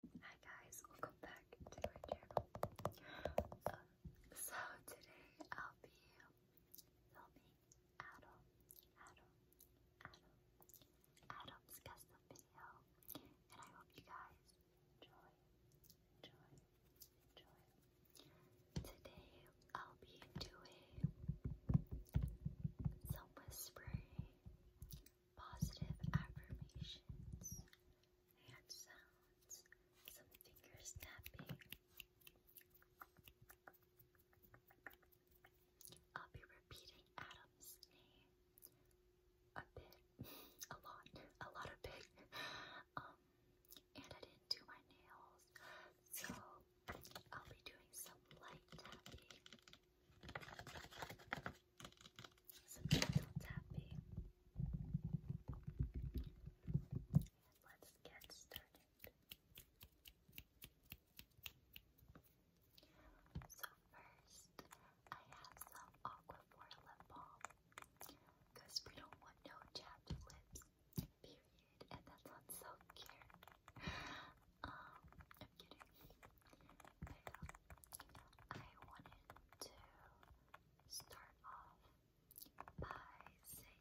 Hi guys, welcome back to my channel. Um, so today I'll be filming Adam, Adam, Adam, Adam's custom video, and I hope you guys enjoy. Today I'll be doing some whispering, positive affirmations, and sounds, some finger snapping. I'll be repeating Adam's name a bit, a lot, a lot of bit. Um, and I didn't do my nails, so I'll be doing some light tapping some gentle tapping. Let's get started. So first, I have some Aquaphor lip balm because we don't want no chapped lips, period. And that sounds so cute. Um, I'm getting But I wanted to start off by saying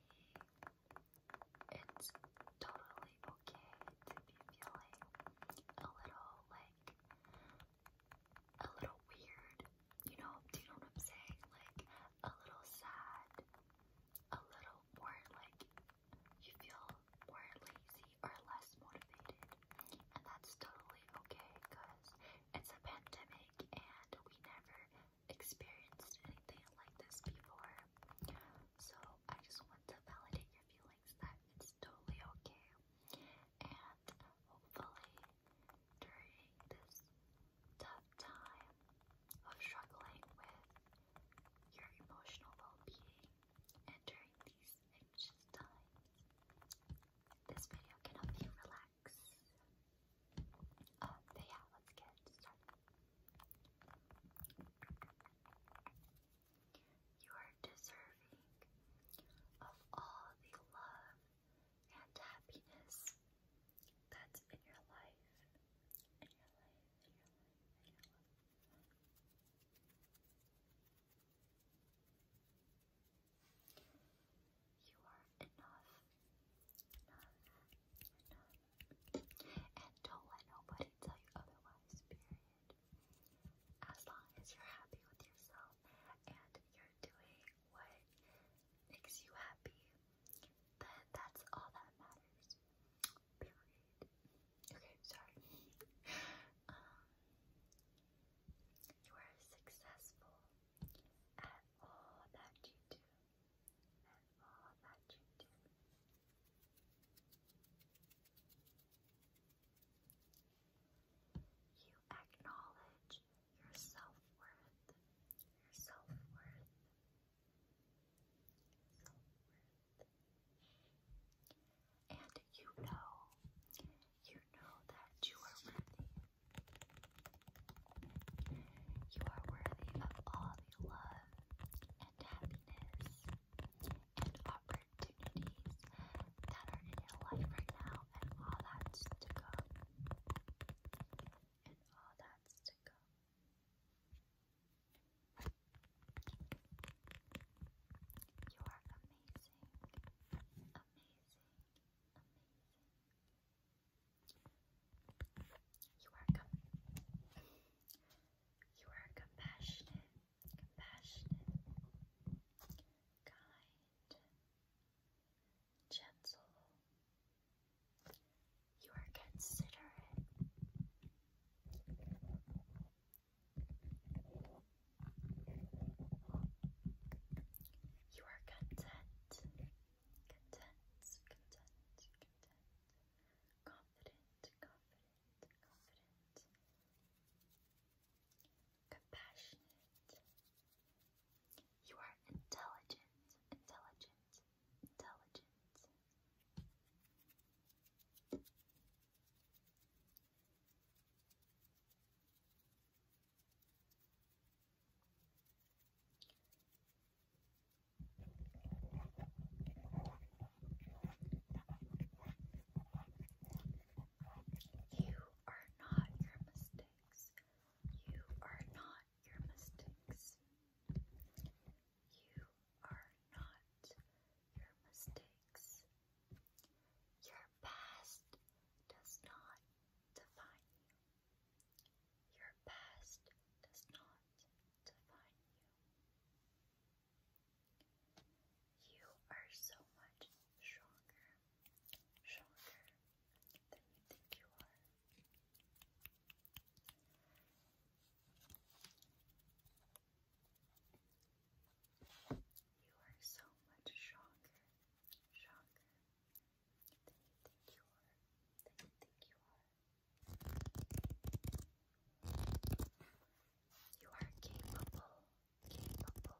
it's totally okay to be feeling a little like a little weird. You know, do you know what I'm saying? Like a little sad, a little more like you feel more lazy or less motivated. And that's totally okay because it's a pandemic and we never experienced anything like this before. So I just want to validate your feelings that it's totally okay. And hopefully during this tough time of struggling with your emotional well-being and during these anxious times, this video can help you relax. Um, but yeah, let's get started. You are deserving of all the love and happiness that's in your life. You are enough, and don't let nobody tell you otherwise, period. As long as you're happy with yourself and you're doing what makes you happy, then that's all that matters period. Okay, sorry. Um, you are successful at all that you do. At all that you do. You acknowledge your self worth. Your self worth. Your self worth. And you know, you know that you are worthy. You are worthy of all the love and happiness and opportunities that are in your life right now, and all that's to come. And all that's to come. You are amazing, amazing, amazing. You are you are compassionate, compassionate, kind, gentle, you are considerate. You are content. Content, content, content. Confident, confident, confident. Compassionate. You are intelligent, intelligent, intelligent. You are not your mistakes. You are not your mistakes. You are not your mistakes. Your past does not define you. Your past does not define you. You are so much stronger, stronger, than you think you are. You are so much stronger, stronger than you think you are, You are capable, capable.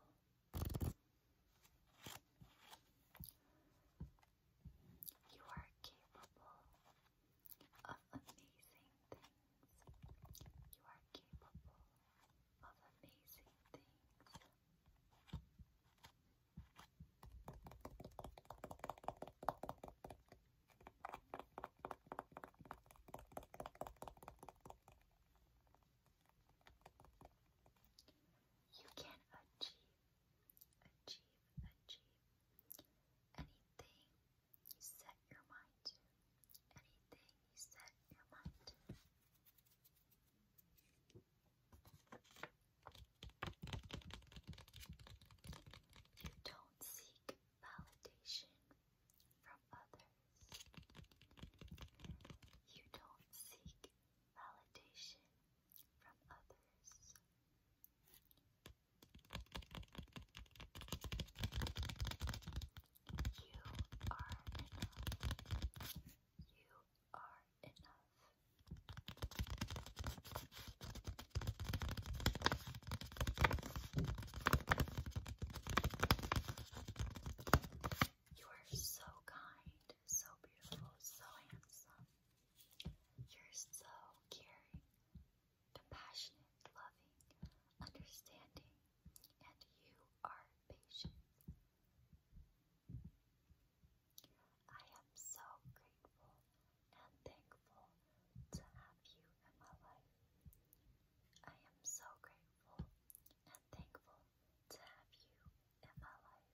You are capable of amazing things. You are capable of amazing things. You can achieve achieve, achieve anything you set your mind to. Anything you set your mind to. You don't seek validation from others. You don't seek validation from others. You are enough. You are enough. You are so kind so beautiful, so handsome. You're so caring, compassionate, loving, understanding, and you are patient. I am so grateful and thankful to have you in my life. I am so grateful and thankful to have you in my life.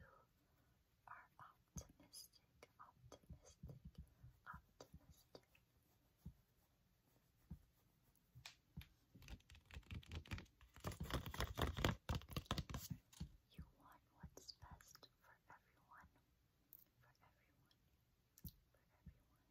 You are optimistic, optimistic, optimistic. You want what's best for everyone, for everyone, for everyone.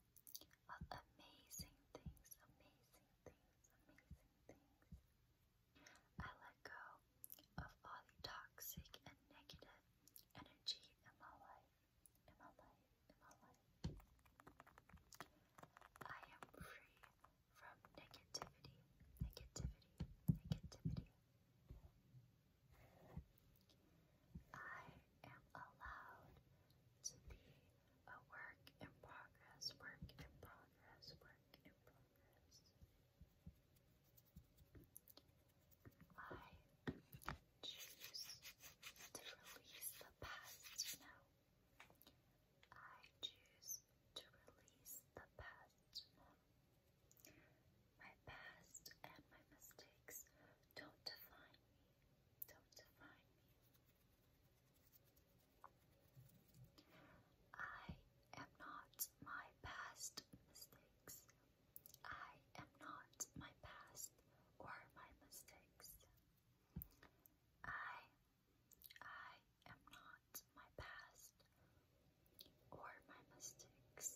of amazing things, amazing things, amazing things. I let go of all the toxic and negative energy in my life, in my life, in my life. I am free from negativity, negativity, negativity. I am allowed to be a work in progress, work in progress, work in progress. I choose to release the past now. I choose to release the past now. My past and my mistakes don't define me don't define me. I am not my past mistakes. I am not my past or my mistakes. I I am not my past or my mistakes.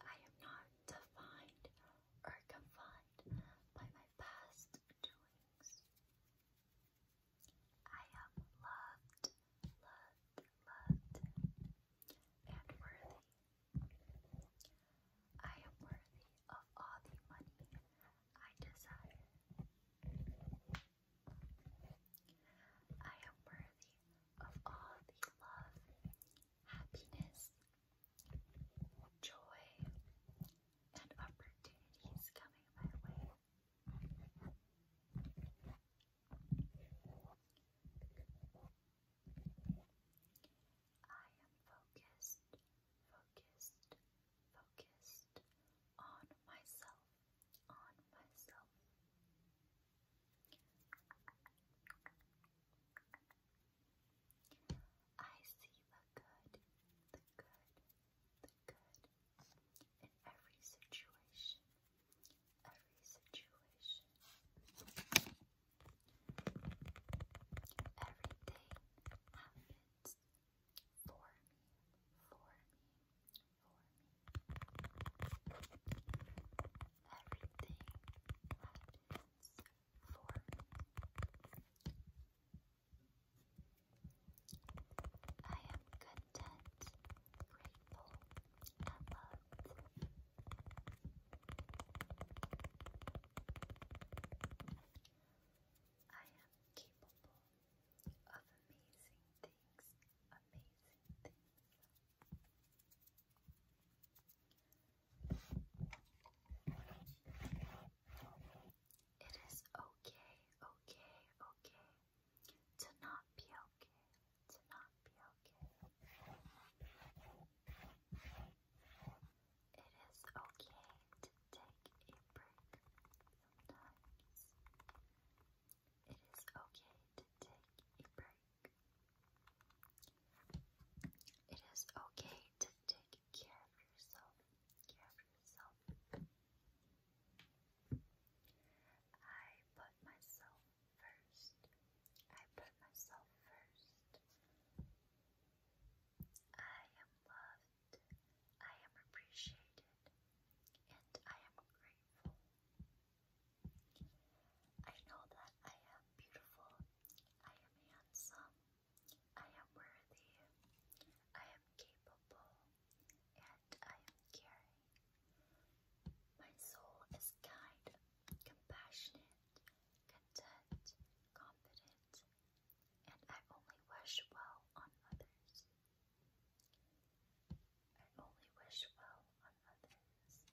I am not defined or confined by my past doings. I am loved, loved, loved, and worthy. I am worthy of all the money I desire. I am worthy of all the love, happiness, joy, and opportunities coming my way. I am focused, focused, focused on myself, on myself. I I see the good, the good, the good in every situation, every situation. Everything happens for me, for me, for me. Everything for I am content, grateful, and loved. I am capable of amazing things, amazing things. I am it is okay, okay, okay to not be okay, to not be okay. It is okay to take a break sometimes. It is okay to take a break. It is okay to take care of yourself. Care of yourself. I put myself first. I put myself first. I am loved. I am appreciated. And I am grateful. I know that I am beautiful, I am handsome, I am worthy, I am capable, and I am caring. My soul is kind, compassionate, content, confident, and I only wish well on others. I only wish well on others.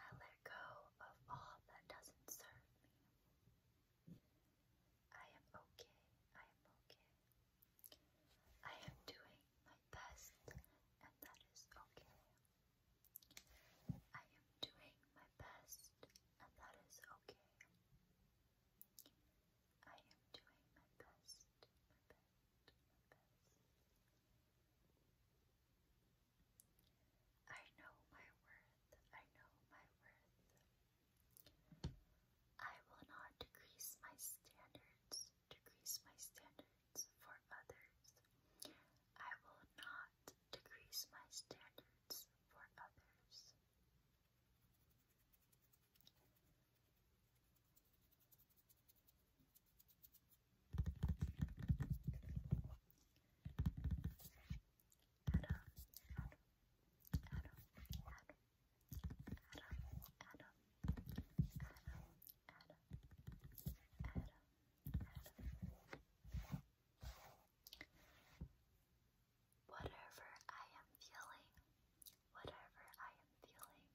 I let go of all that doesn't serve me. I am okay. I am okay. I am doing my best, and that is okay. I am doing my best, and that is okay. I am doing my best, my best, my I know my worth, I know my worth. I will not decrease my standards, decrease my standards for others. I will not decrease my standards for others. Whatever I am feeling, whatever I am feeling,